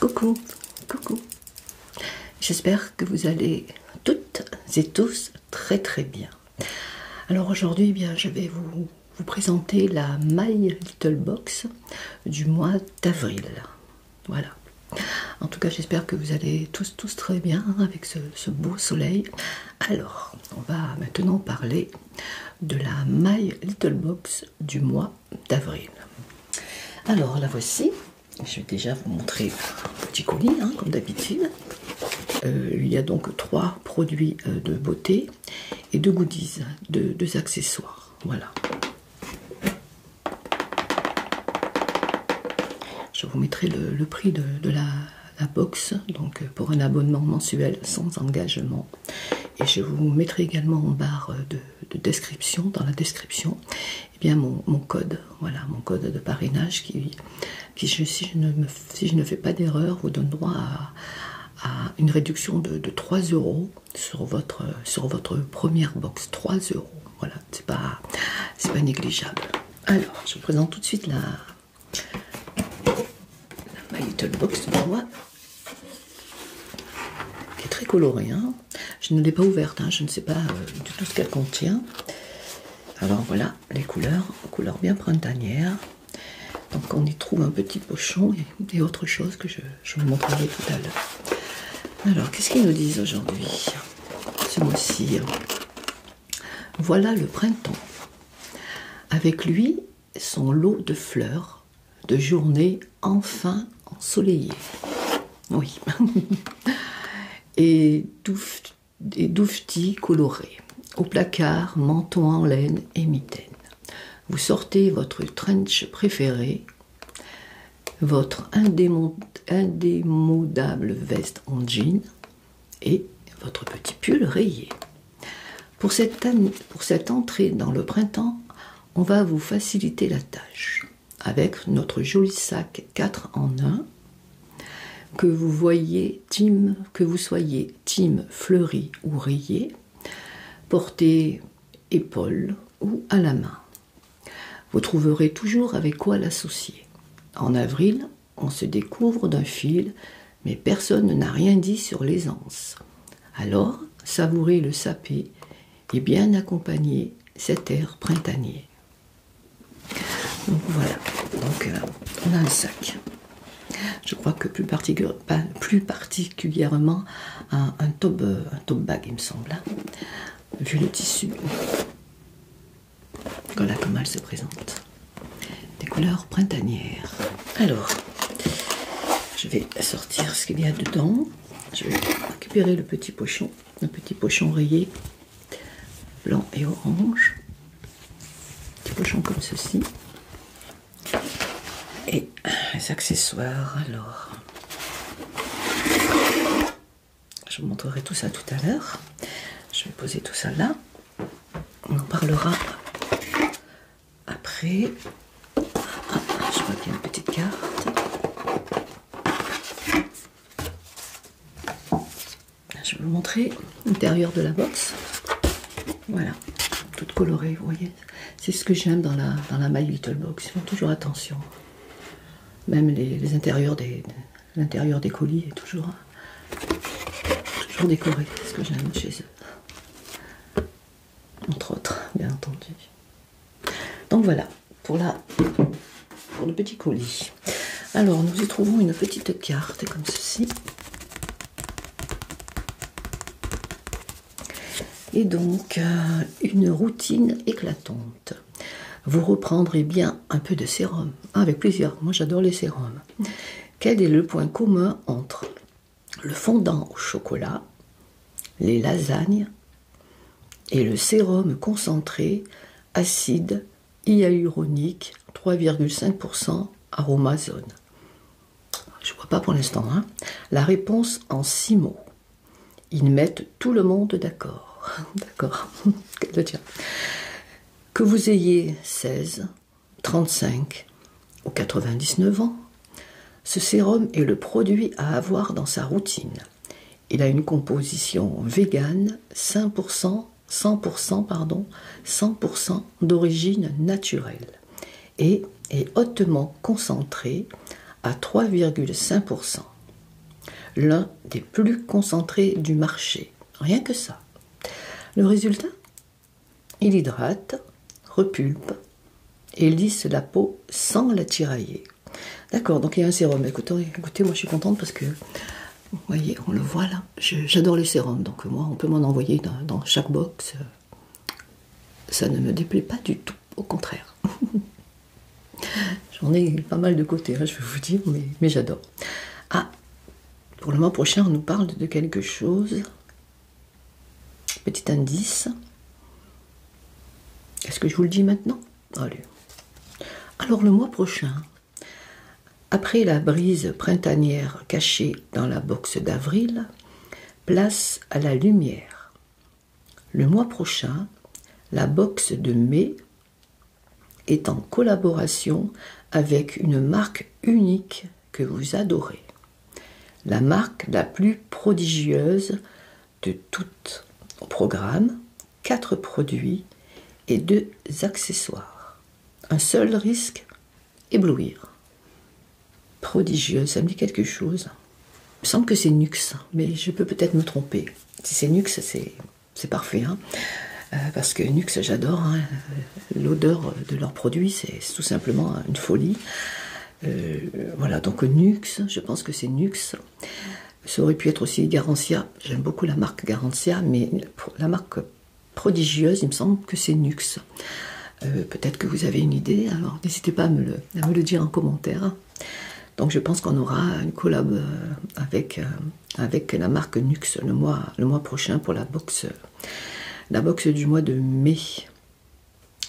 Coucou, coucou. J'espère que vous allez toutes et tous très très bien. Alors aujourd'hui, eh bien, je vais vous, présenter la My Little Box du mois d'avril. Voilà. En tout cas, j'espère que vous allez tous tous très bien avec ce, ce beau soleil. Alors, on va maintenant parler de la My Little Box du mois d'avril. Alors la voici. Je vais déjà vous montrer un petit colis, hein, comme d'habitude. Euh, il y a donc trois produits euh, de beauté et deux goodies, deux, accessoires. Voilà. Je vous mettrai le, prix de, la, la box, donc euh, pour un abonnement mensuel sans engagement. Et je vous mettrai également en barre euh, de, description, dans la description, eh bien mon, code, voilà, mon code de parrainage qui, si, je ne fais pas d'erreur, vous donne droit à, une réduction de, 3 euros sur votre, sur votre première box. 3 euros, voilà, c'est pas, pas négligeable. Alors, je vous présente tout de suite la, Little Box pour moi qui est très colorée. Hein. je ne l'ai pas ouverte, hein. je ne sais pas euh, du tout ce qu'elle contient. Alors voilà, les couleurs, couleurs bien printanières. Donc on y trouve un petit pochon et, autre chose que je, je vous montrerai tout à l'heure. Alors, qu'est-ce qu'ils nous disent aujourd'hui Ce mois-ci. Voilà le printemps. Avec lui, son lot de fleurs, de journée enfin ensoleillée. Oui. et, douf, des colorés. Au placard, menton en laine et mitaine. Vous sortez votre trench préféré, votre indémodable veste en jean et votre petit pull rayé. pour cette entrée dans le printemps, on va vous faciliter la tâche avec notre joli sac 4 en 1 que vous voyez Tim, que vous soyez team fleuri ou rayé porté épaule ou à la main vous trouverez toujours avec quoi l'associer en avril on se découvre d'un fil mais personne n'a rien dit sur l'aisance alors savourez le sapé et bien accompagner cet air printanier. Donc voilà, donc euh, on a un sac. Je crois que plus, particulièrement un, un, bag, il me semble, hein. vu le tissu. Voilà comment elle se présente. Des couleurs printanières. Alors, je vais sortir ce qu'il y a dedans je vais récupérer le petit pochon, un petit pochon rayé, blanc et orange, petit pochon comme ceci, et les accessoires. Alors, je vous montrerai tout ça tout à l'heure. Je vais poser tout ça là. On en parlera après, je vois qu'il y a une petite carte. Je vais vous montrer l'intérieur de la box. Voilà, toute colorée, vous voyez. C'est ce que j'aime dans la, dans la My Little Box. Ils font toujours attention. Même les intérieurs des, l'intérieur des colis est toujours, toujours décoré. C'est ce que j'aime chez eux. Entre autres, bien entendu. Donc voilà pour, la, pour le petit colis. Alors nous y trouvons une petite carte comme ceci. Et donc euh, une routine éclatante. Vous reprendrez bien un peu de sérum, ah, avec plaisir. Moi j'adore les sérums. Quel est le point commun entre le fondant au chocolat, les lasagnes et le sérum concentré acide hyaluronique 3,5% aromazone. Je vois pas pour l'instant. Hein. La réponse en six mots. Ils mettent tout le monde d'accord. D'accord. que vous ayez 16, 35, aux 99 ans, ce sérum est le produit à avoir dans sa routine. Il a une composition végane, 100% d'origine naturelle et est hautement concentré à 3,5%. L'un des plus concentrés du marché. Rien que ça. Le résultat Il hydrate, repulpe, et lisse la peau sans la tirailler. D'accord, donc il y a un sérum. Écoutez, écoutez, moi je suis contente parce que, vous voyez, on le voit là, j'adore les sérums, donc moi on peut m'en envoyer dans, chaque box. Ça ne me déplaît pas du tout, au contraire. J'en ai pas mal de côté, hein, je vais vous dire, mais j'adore. Ah, pour le mois prochain, on nous parle de quelque chose Petit indice. Est-ce que je vous le dis maintenant Alors le mois prochain, après la brise printanière cachée dans la boxe d'avril, place à la lumière. Le mois prochain, la boxe de mai est en collaboration avec une marque unique que vous adorez. La marque la plus prodigieuse de tout programme, quatre produits et deux accessoires. Un seul risque, éblouir. Prodigieuse, ça me dit quelque chose. Il me semble que c'est Nux, mais je peux peut-être me tromper. Si c'est Nux, c'est parfait. Hein. Euh, parce que Nux, j'adore. Hein. L'odeur de leurs produits, c'est tout simplement une folie. Euh, voilà, donc Nux, je pense que c'est Nux. Ça aurait pu être aussi Garantia. J'aime beaucoup la marque Garantia, mais la marque prodigieuse, il me semble que c'est Nux. Euh, peut-être que vous avez une idée, alors n'hésitez pas à me, le, dire en commentaire. Donc je pense qu'on aura une collab euh, avec, avec la marque Nux le mois, prochain pour la boxe la boxe du mois de mai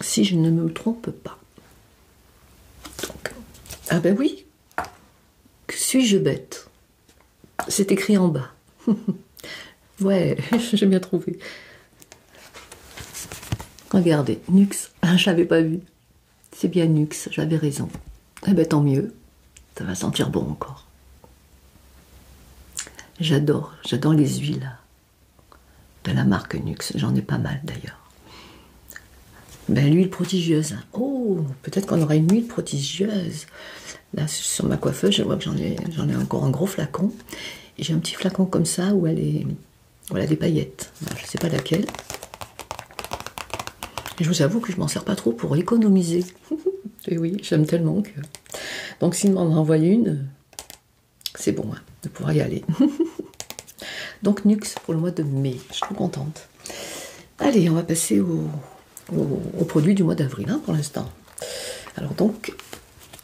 si je ne me trompe pas. ah ben oui, Que suis-je bête C'est écrit en bas. ouais, j'ai bien trouvé. Regardez, Nux, ah, j'avais pas vu. C'est bien Nux, j'avais raison. Eh ben tant mieux, ça va sentir bon encore. J'adore, j'adore les huiles de la marque Nuxe, J'en ai pas mal d'ailleurs. Ben, l'huile prodigieuse. Oh, peut-être qu'on aura une huile prodigieuse. Là, sur ma coiffeuse, je vois que j'en ai, encore un gros flacon. j'ai un petit flacon comme ça où elle est, voilà des paillettes. je ne sais pas laquelle. je vous avoue que je m'en sers pas trop pour économiser. Et oui, j'aime tellement que. Donc, s'il m'en envoie une, c'est bon hein, de pouvoir y aller. Donc Nux pour le mois de mai. Je suis contente. Allez, on va passer aux au, produits du mois d'avril hein, pour l'instant. Alors donc,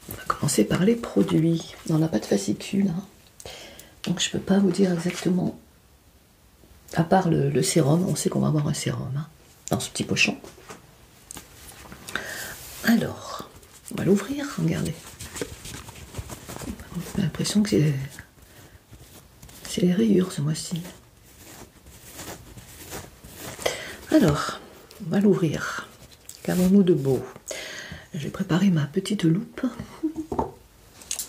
on va commencer par les produits. On n'a pas de fascicule. Hein. Donc je ne peux pas vous dire exactement. À part le, sérum, on sait qu'on va avoir un sérum dans ce petit pochon. Alors, on va l'ouvrir, regardez. J'ai l'impression que c'est c'est les rayures ce mois-ci. Alors, on va l'ouvrir. Qu'avons-nous de beau J'ai préparé ma petite loupe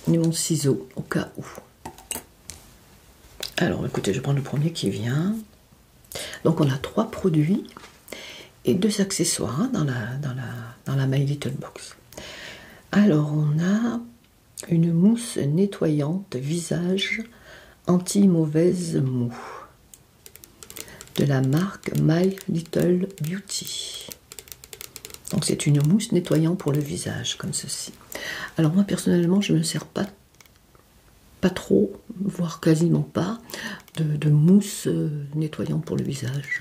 ni mon ciseau au cas où. Alors, écoutez, je prends le premier qui vient. Donc on a trois produits et deux accessoires hein, dans, la, My Little Box. Alors on a une mousse nettoyante visage anti-mauvaise mou de la marque My Little Beauty. Donc c'est une mousse nettoyante pour le visage comme ceci. Alors moi personnellement je ne me sers pas pas trop, voire quasiment pas, de, mousse euh, nettoyante pour le visage.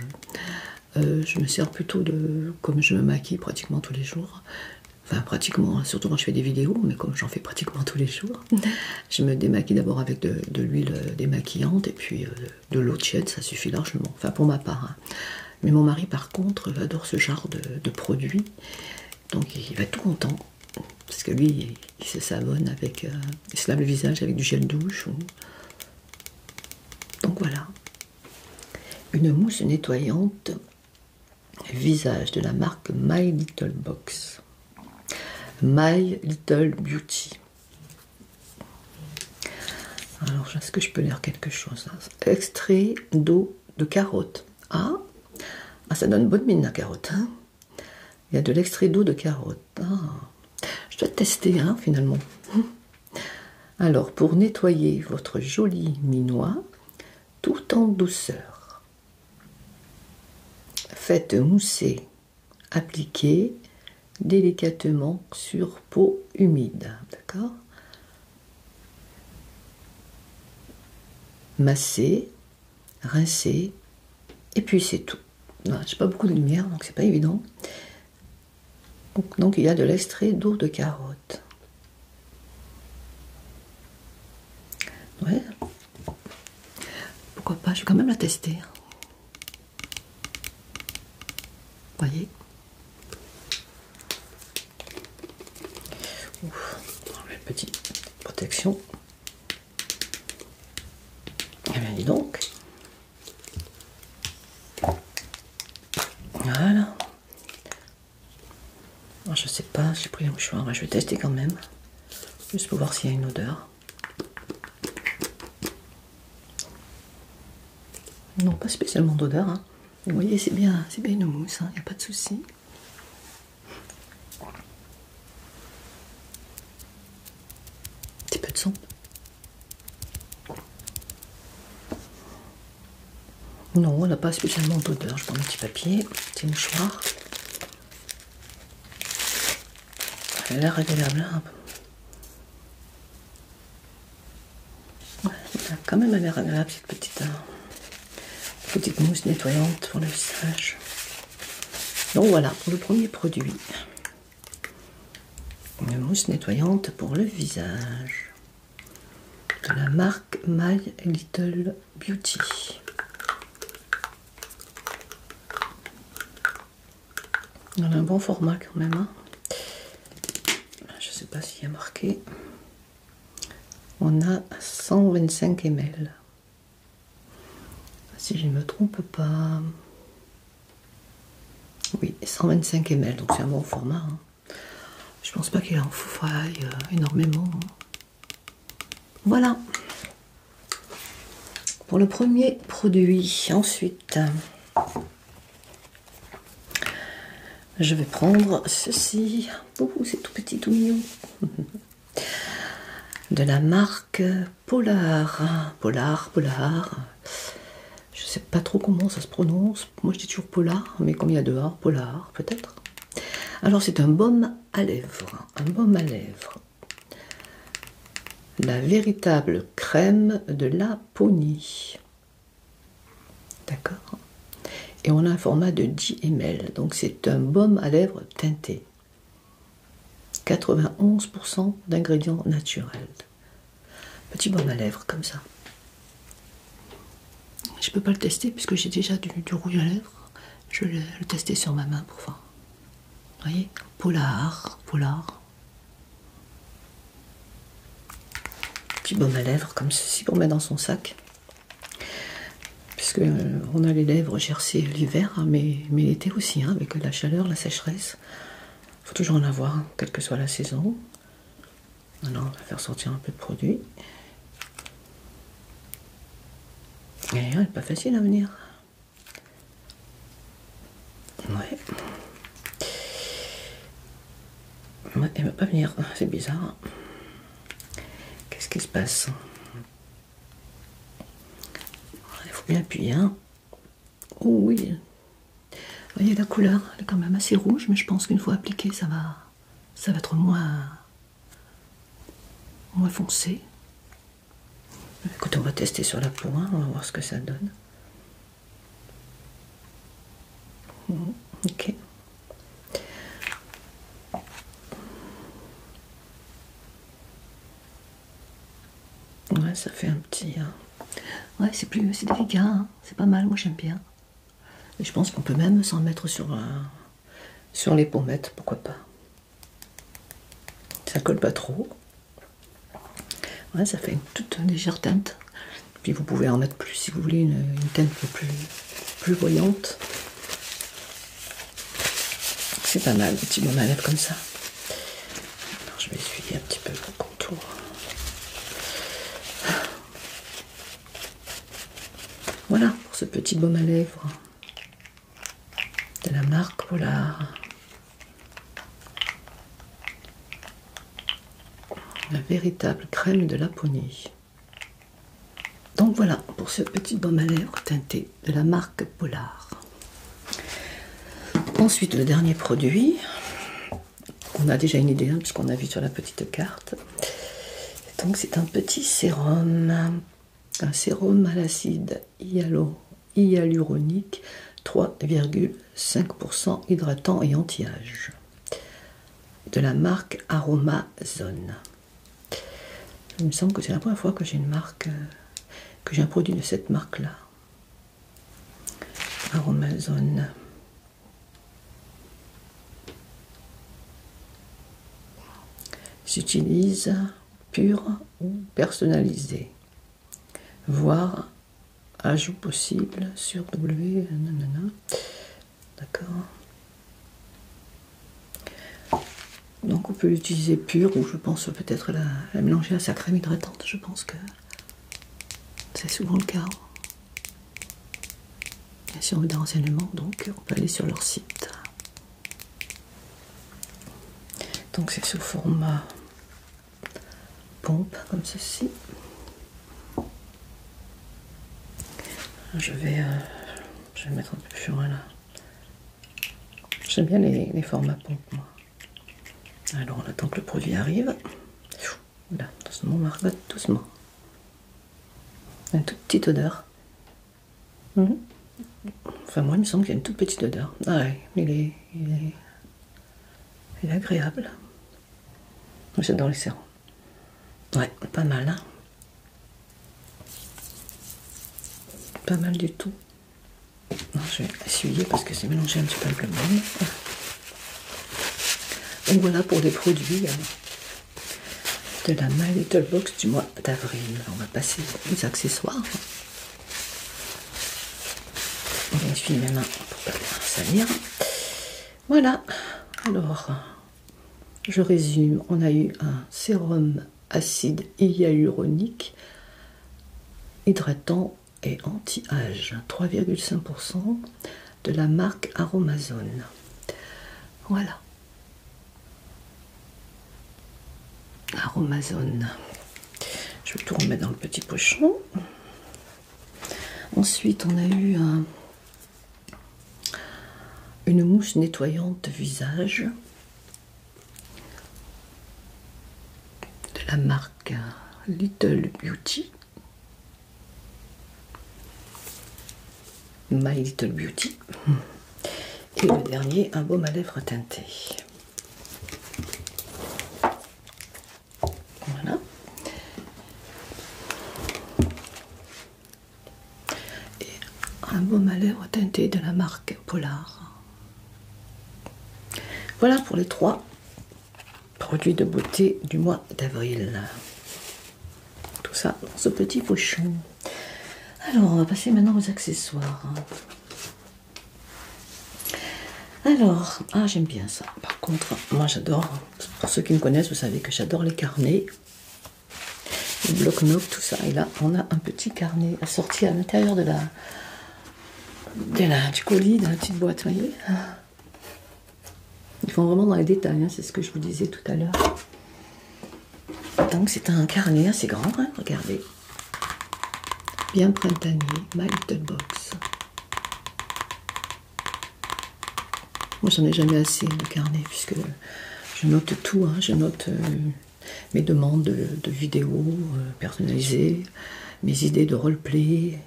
Euh, je me sers plutôt de, comme je me maquille pratiquement tous les jours, enfin pratiquement, surtout quand je fais des vidéos, mais comme j'en fais pratiquement tous les jours, je me démaquille d'abord avec de, l'huile euh, démaquillante et puis de l'eau tiède, ça suffit largement, enfin pour ma part. Hein. Mais mon mari par contre adore ce genre de, produit, donc il va tout content parce que lui, il se savonne avec, euh, il se lave le visage avec du gel douche. Donc voilà, une mousse nettoyante visage de la marque My Little Box, My Little Beauty. Alors, est-ce que je peux lire quelque chose hein Extrait d'eau de carotte. Ah, ah, ça donne bonne mine la carotte. Hein il y a de l'extrait d'eau de carotte. Ah, je dois tester, hein, finalement. Alors, pour nettoyer votre joli minois, tout en douceur, faites mousser, appliquez délicatement sur peau humide. D'accord Massez rincer, et puis c'est tout. J'ai pas beaucoup de lumière, donc c'est pas évident. Donc, il y a de l'extrait d'eau de carotte. Ouais. Pourquoi pas, je vais quand même la tester. voyez Ouf, petite protection. Eh bien, dis donc. Voilà. Oh, je sais pas, j'ai pris un mouchoir, je vais tester quand même. Juste pour voir s'il y a une odeur. Non, pas spécialement d'odeur. Hein. Vous voyez, c'est bien, c'est bien une mousse, il hein. n'y a pas de souci petit peu de son. Non, on n'a pas spécialement d'odeur. Je prends un petit papier, petit mouchoir. Elle a l'air agréable. Hein elle a quand même l'air agréable cette petite, euh, petite mousse nettoyante pour le visage. Donc voilà pour le premier produit. Une mousse nettoyante pour le visage. De la marque My Little Beauty. On a un bon format quand même. Hein. Je ne sais pas s'il y a marqué. On a 125 ml. Si je ne me trompe pas. Oui, 125 ml, donc c'est un bon format. je hein. Je pense pas qu'il en faille euh, énormément. Hein. Voilà pour le premier produit. Ensuite, je vais prendre ceci. c'est tout petit, tout mignon. de la marque Polar. Polar, Polar. Je ne sais pas trop comment ça se prononce. Moi je dis toujours Polar, mais combien il y a Polar peut-être. Alors c'est un baume à lèvres. Un baume à lèvres. La véritable crème de la Laponie. D'accord Et on a un format de 10 ml. Donc c'est un baume à lèvres teinté. 91% d'ingrédients naturels. Petit baume à lèvres comme ça. Je ne peux pas le tester puisque j'ai déjà du, rouge à lèvres. Je vais le tester sur ma main pour voir. Vous voyez Polar, polar. Petit baume à lèvres comme ceci qu'on met dans son sac puisque euh, on a les lèvres gercées l'hiver, hein, mais, l'été aussi, hein, avec la chaleur, la sécheresse. faut toujours en avoir, hein, quelle que soit la saison. Maintenant, on va faire sortir un peu de produit. Et elle n'est pas facile à venir. Ouais. elle ne va pas venir, c'est bizarre. Qu'est-ce qui se passe il faut bien appuyer. Hein. Oh oui. Voyez la couleur, elle est quand même assez rouge, mais je pense qu'une fois appliquée, ça va, ça va être moins, moins foncé. Écoute, on va tester sur la pointe. Hein, on va voir ce que ça donne. Ok. Ouais, ça fait un petit. Hein. Ouais, c'est plus, délicat. Hein. C'est pas mal. Moi, j'aime bien. Et je pense qu'on peut même s'en mettre sur, euh, sur les pommettes, pourquoi pas. Ça colle pas trop. Ouais, ça fait une toute légère teinte. Puis vous pouvez en mettre plus si vous voulez une, teinte teinte plus, plus voyante. C'est pas mal, petit petit baume à lèvres comme ça. je vais essuyer un petit peu le contour. Voilà pour ce petit baume à lèvres de la marque Polar. La véritable crème de la Laponie. Donc voilà pour ce petit baume à lèvres teinté de la marque Polar. Ensuite, le dernier produit, on a déjà une idée hein, puisqu'on a vu sur la petite carte. Donc c'est un petit sérum, un sérum à l'acide hyaluronique 3,5% hydratant et anti-âge de la marque Aromazone. Il me semble que c'est la première fois que j'ai une marque, euh, que j'ai un produit de cette marque-là. Aromazone. S'utilise pur ou personnalisé. Voir ajout possible sur W. D'accord. Donc on peut l'utiliser pur ou je pense peut-être la, mélanger à sa crème hydratante. Je pense que c'est souvent le cas. si on veut des renseignements, donc on peut aller sur leur site. Donc c'est sous format pompe comme ceci. Je vais, euh, je vais mettre un peu plus loin là. J'aime bien les, formats pompe, moi. Alors, on attend que le produit arrive. Voilà, doucement, y doucement. Une toute petite odeur. Mhm. Enfin, moi, il me semble qu'il y a une toute petite odeur. Ah ouais, il est, il est, agréable. J'adore les serrons. Ouais, pas mal, hein. Pas mal du tout. je vais essuyer parce que c'est mélangé un petit peu le Donc voilà pour les produits hein. de la My Little Box du mois d'avril. On va passer aux accessoires. On essuyer mes mains pour pas salir. Voilà. Alors, je résume. On a eu un sérum acide hyaluronique, hydratant et anti-âge. 3,5% de la marque Aromazone. Voilà. Aromazone. Je vais tout remettre dans le petit pochon. Ensuite, on a eu une mousse nettoyante visage de la marque euh, Little Beauty. My Little Beauty. Et le dernier, un baume à lèvres teinté. Voilà et un baume à lèvres teinté de la marque Polar. Voilà pour les trois produits de beauté du mois d'avril. Tout ça dans ce petit pochon. Alors, on va passer maintenant aux accessoires. Alors, ah, j'aime bien ça. Par contre, moi j'adore, pour ceux qui me connaissent, vous savez que j'adore les carnets le bloc-notes, tout ça. Et là, on a un petit carnet assorti à l'intérieur de la, de la, du colis, de la petite boîte, vous voyez Ils font vraiment dans les détails, hein, c'est ce que je vous disais tout à l'heure. Donc c'est un carnet assez grand, hein, regardez. Bien printanier, My Little Box. Moi, j'en ai jamais assez de carnet, puisque je note tout. Hein. Je note euh, mes demandes de, vidéos euh, personnalisées, mes idées de roleplay,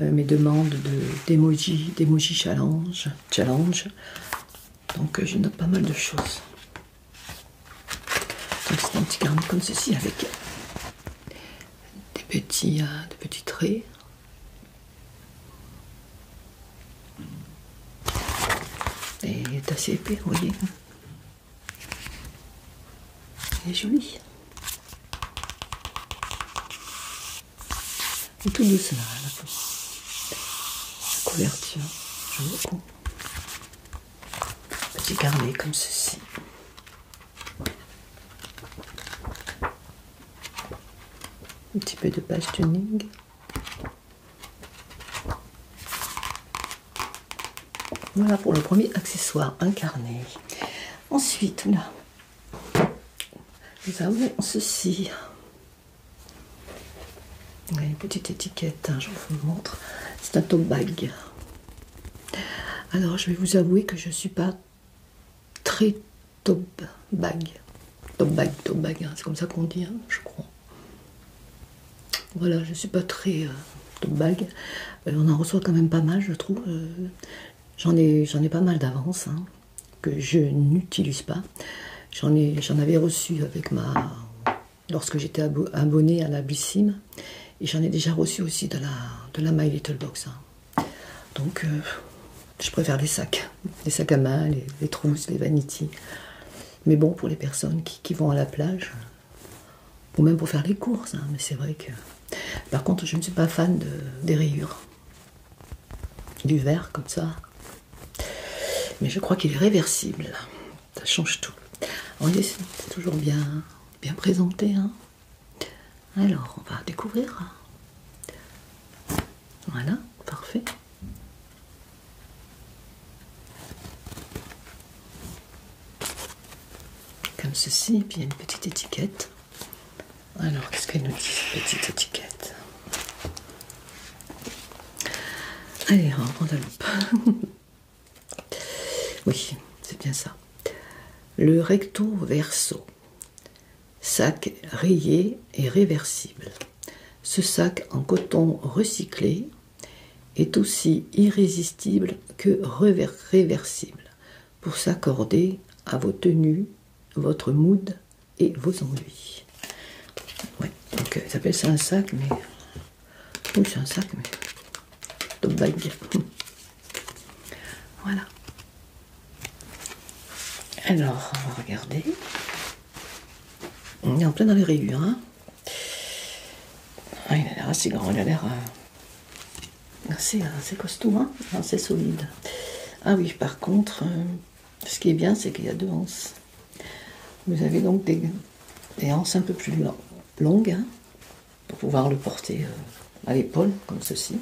euh, mes demandes d'emoji, challenge, challenge. Donc euh, je note pas mal de choses. c'est un petit carnet comme ceci avec des petits, des petits traits. Et il est assez épais, vous voyez. Il est joli. est tout douce là, hein, la, la couverture, j'aime beaucoup. Petit carnet comme ceci. Un petit peu de page tuning. Voilà pour le premier accessoire incarné. Ensuite, là, nous avons ceci. une petite étiquette, hein, je vous montre. C'est un top bag. Alors, je vais vous avouer que je ne suis pas très top bag. Top bag, top bag, hein, c'est comme ça qu'on dit, hein, je crois. Voilà, je ne suis pas très euh, de bague. Euh, on en reçoit quand même pas mal, je trouve. Euh, j'en ai, pas mal d'avance hein, que je n'utilise pas. J'en ai, j'en avais reçu avec ma, lorsque j'étais abonnée à la Blissime, et j'en ai déjà reçu aussi de la, de la My Little Box. Hein. Donc, je préfère les sacs, les sacs à main, les, les trousses, les vanities. Mais bon, pour les personnes qui, vont à la plage, ou même pour faire les courses, hein, mais c'est vrai que. Par contre, je ne suis pas fan des rayures. Du vert comme ça. Mais je crois qu'il est réversible. Ça change tout. On c'est toujours bien, bien présenté. Hein. Alors, on va découvrir. Voilà, parfait. Comme ceci, et puis il y a une petite étiquette. Alors, qu'est-ce qu'elle nous dit, cette petite étiquette Allez, on prend la loupe. oui, c'est bien ça. Le recto verso, sac rayé et réversible. Ce sac en coton recyclé est aussi irrésistible que réversible pour s'accorder à vos tenues, votre mood et vos ennuis. donc euh, ils appellent ça un sac, mais. c'est un sac, mais. Top bag. Voilà. Alors, on va regarder. On est en plein dans les rayures. Hein. Ah, il a l'air assez grand, il a l'air euh, assez, costaud, hein, assez solide. Ah oui, par contre, euh, ce qui est bien, c'est qu'il y a deux anses. Vous avez donc des, anses un peu plus longues hein, pour pouvoir le porter euh, à l'épaule, comme ceci.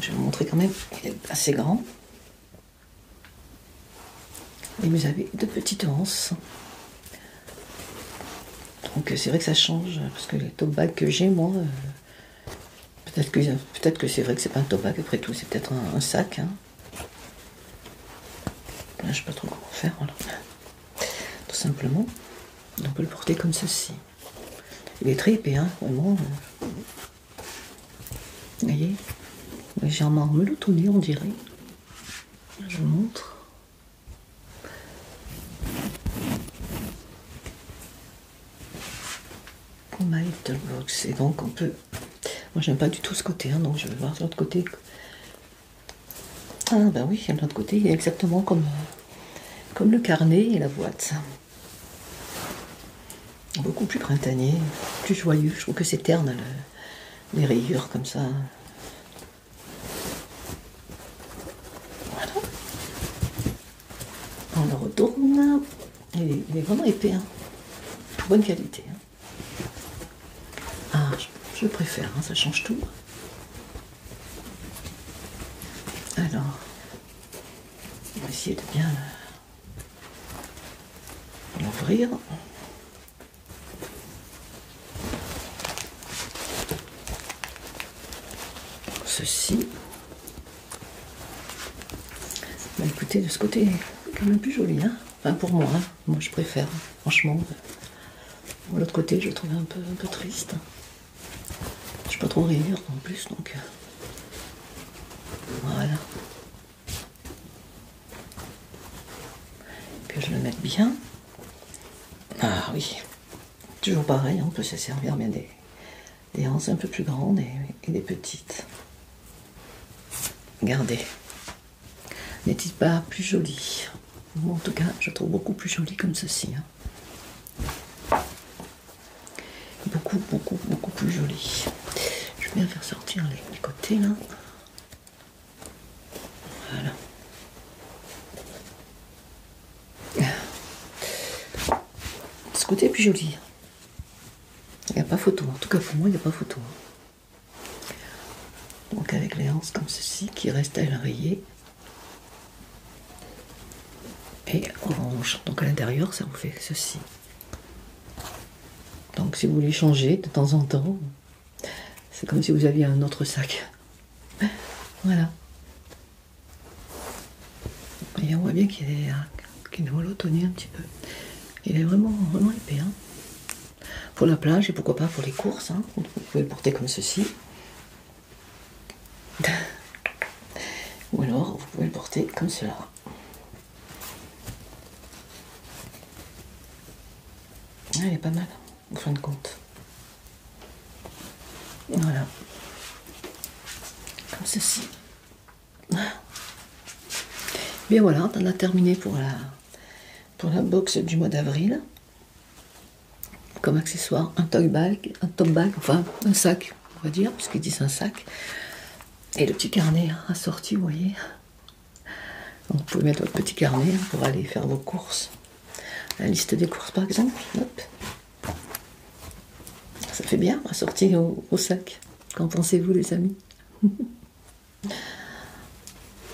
je vais vous montrer quand même, qu'il est assez grand. Et vous avez de petites anses. Donc euh, c'est vrai que ça change, parce que les top que j'ai, moi, euh, peut-être que, peut que c'est vrai que c'est pas un top bag après tout, c'est peut-être un, sac. je hein. ne je sais pas trop comment faire, Tout simplement, on peut le porter comme ceci. Il est très épais, hein, vraiment. Euh. Vous voyez Légèrement nez, on dirait. Je vous montre. little box. Et donc on peut. Moi j'aime pas du tout ce côté, hein, donc je vais voir de l'autre côté. Ah ben oui, de l'autre côté, il a exactement comme, comme le carnet et la boîte beaucoup plus printanier, plus joyeux. Je trouve que c'est terne, les rayures comme ça. Voilà. On le retourne. Il, est, vraiment épais. Hein. Bonne qualité. Hein. Ah, je, préfère, hein, ça change tout. Alors, on va essayer de bien l'ouvrir. Ceci. Bah écoutez, de ce côté, quand même plus joli, hein. enfin pour moi, hein. moi je préfère, franchement. L'autre côté, je le trouve un peu, un peu triste. Je ne pas trop rire en plus, donc. Euh, voilà. Que je le mette bien. Ah oui, toujours pareil, on peut se servir bien des, des anses un peu plus grandes et, des petites. Regardez, n'est-il pas plus joli en tout cas, je trouve beaucoup plus joli comme ceci. Hein. Beaucoup, beaucoup, beaucoup plus joli. Je vais bien faire sortir les, côtés là. Voilà. Ce côté est plus joli. Il n'y a pas photo. En tout cas, pour moi, il n'y a pas photo. Donc, avec les hanches comme ceci qui restent à rayer Et orange. Donc, à l'intérieur, ça vous fait ceci. Donc si vous voulez changer de temps en temps, c'est comme si vous aviez un autre sac. Voilà. Et on voit bien qu'il est, volotonné un petit peu. Il est vraiment, vraiment épais. Hein. Pour la plage et pourquoi pas pour les courses. Hein. Vous pouvez le porter comme ceci. Ou alors vous pouvez le porter comme cela. Ah, elle est pas mal, en fin de compte. Voilà. Comme ceci. Bien voilà, on a terminé pour la, pour la box du mois d'avril. Comme accessoire, un toy bag, un top bag, enfin un sac, on va dire, puisqu'ils disent un sac et le petit carnet assorti, vous voyez. vous pouvez mettre votre petit carnet hein, pour aller faire vos courses. La liste des courses, par exemple. Ça fait bien à au, au sac. Qu'en pensez-vous, les amis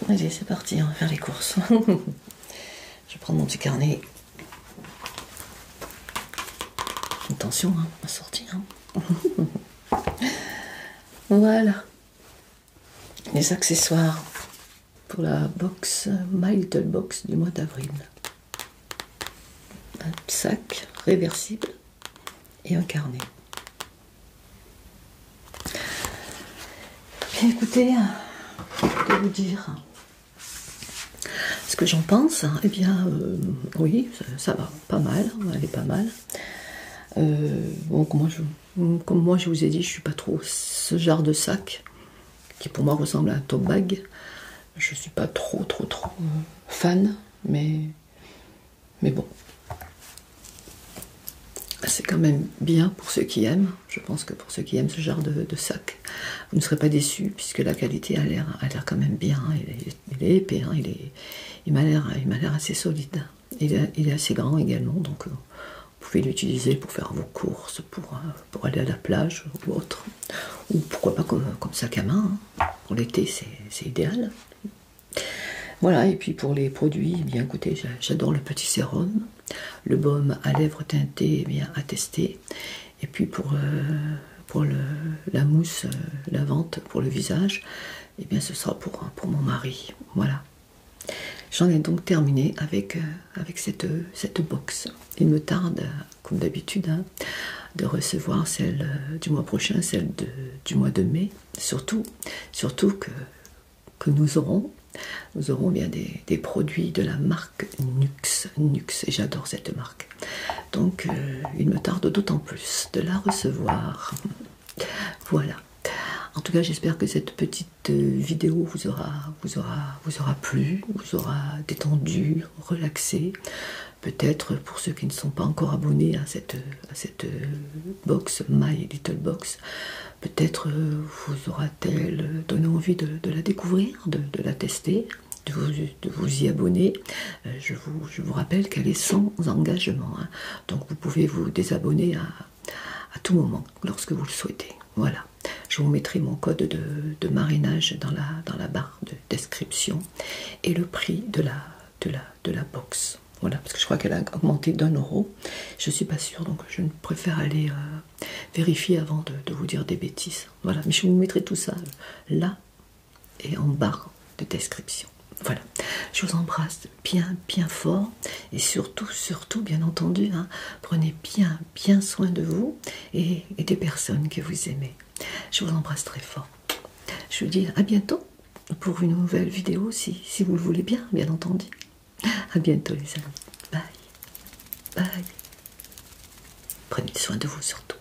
Allez, c'est parti, on va faire les courses. Je prends mon petit carnet. Attention hein, à sortir. Hein. voilà les accessoires pour la box My Little Box du mois d'avril. Un sac réversible et un carnet. Bien écoutez, que vous dire ce que j'en pense hein, Eh bien, euh, oui, ça va pas mal, elle est pas mal. Euh, comme moi, je, vous ai dit, je suis pas trop ce genre de sac qui pour moi ressemble à un top bag. Je suis pas trop trop trop euh, fan, mais mais bon, c'est quand même bien pour ceux qui aiment. Je pense que pour ceux qui aiment ce genre de, sac, vous ne serez pas déçus puisque la qualité a l'air quand même bien. Hein, et il est épais, hein, il, m'a l'air assez solide. Il est, assez grand également, donc euh, vous pouvez l'utiliser pour faire vos courses, pour, euh, pour aller à la plage ou autre. Ou pourquoi pas comme, sac à main, hein. pour l'été c'est idéal. Voilà, et puis pour les produits, eh bien écoutez, j'adore le petit sérum, le baume à lèvres teintées eh bien à tester. Et puis pour euh, pour la mousse, euh, la vente pour le visage, et eh bien ce sera pour, pour mon mari. Voilà. J'en ai donc terminé avec, euh, avec cette, cette box. Il me tarde, comme d'habitude, hein, de recevoir celle euh, du mois prochain, celle du mois de mai. Surtout, surtout que, que nous aurons. Nous aurons bien des, produits de la marque nuxe Nux, j'adore cette marque. Donc euh, il me tarde d'autant plus de la recevoir. Voilà. En tout cas, j'espère que cette petite euh, vidéo vous aura, vous aura, vous aura plu, vous aura détendu, relaxé. Peut-être pour ceux qui ne sont pas encore abonnés à cette, à cette euh, box, My Little Box, peut-être vous aura-t-elle donné envie de, la découvrir, de la tester de vous, y abonner. Euh, je, vous, rappelle qu'elle est sans engagement. Hein. Donc vous pouvez vous désabonner à, à tout moment, lorsque vous le souhaitez. Voilà. Je vous mettrai mon code de, de marinage dans la, dans la barre de description et le prix de la, de la, de la box. Voilà, parce que je crois qu'elle a augmenté d'un euro. Je ne suis pas sûre, donc je préfère aller euh, vérifier avant de vous dire des bêtises. Voilà, mais je vous mettrai tout ça là et en barre de description. Voilà, je vous embrasse bien, bien fort et surtout, surtout, bien entendu, hein, prenez bien, bien soin de vous et, des personnes que vous aimez. Je vous embrasse très fort. Je vous dis à bientôt pour une nouvelle vidéo si, vous le voulez bien, bien entendu. À bientôt les amis. Bye. Bye. Prenez soin de vous surtout.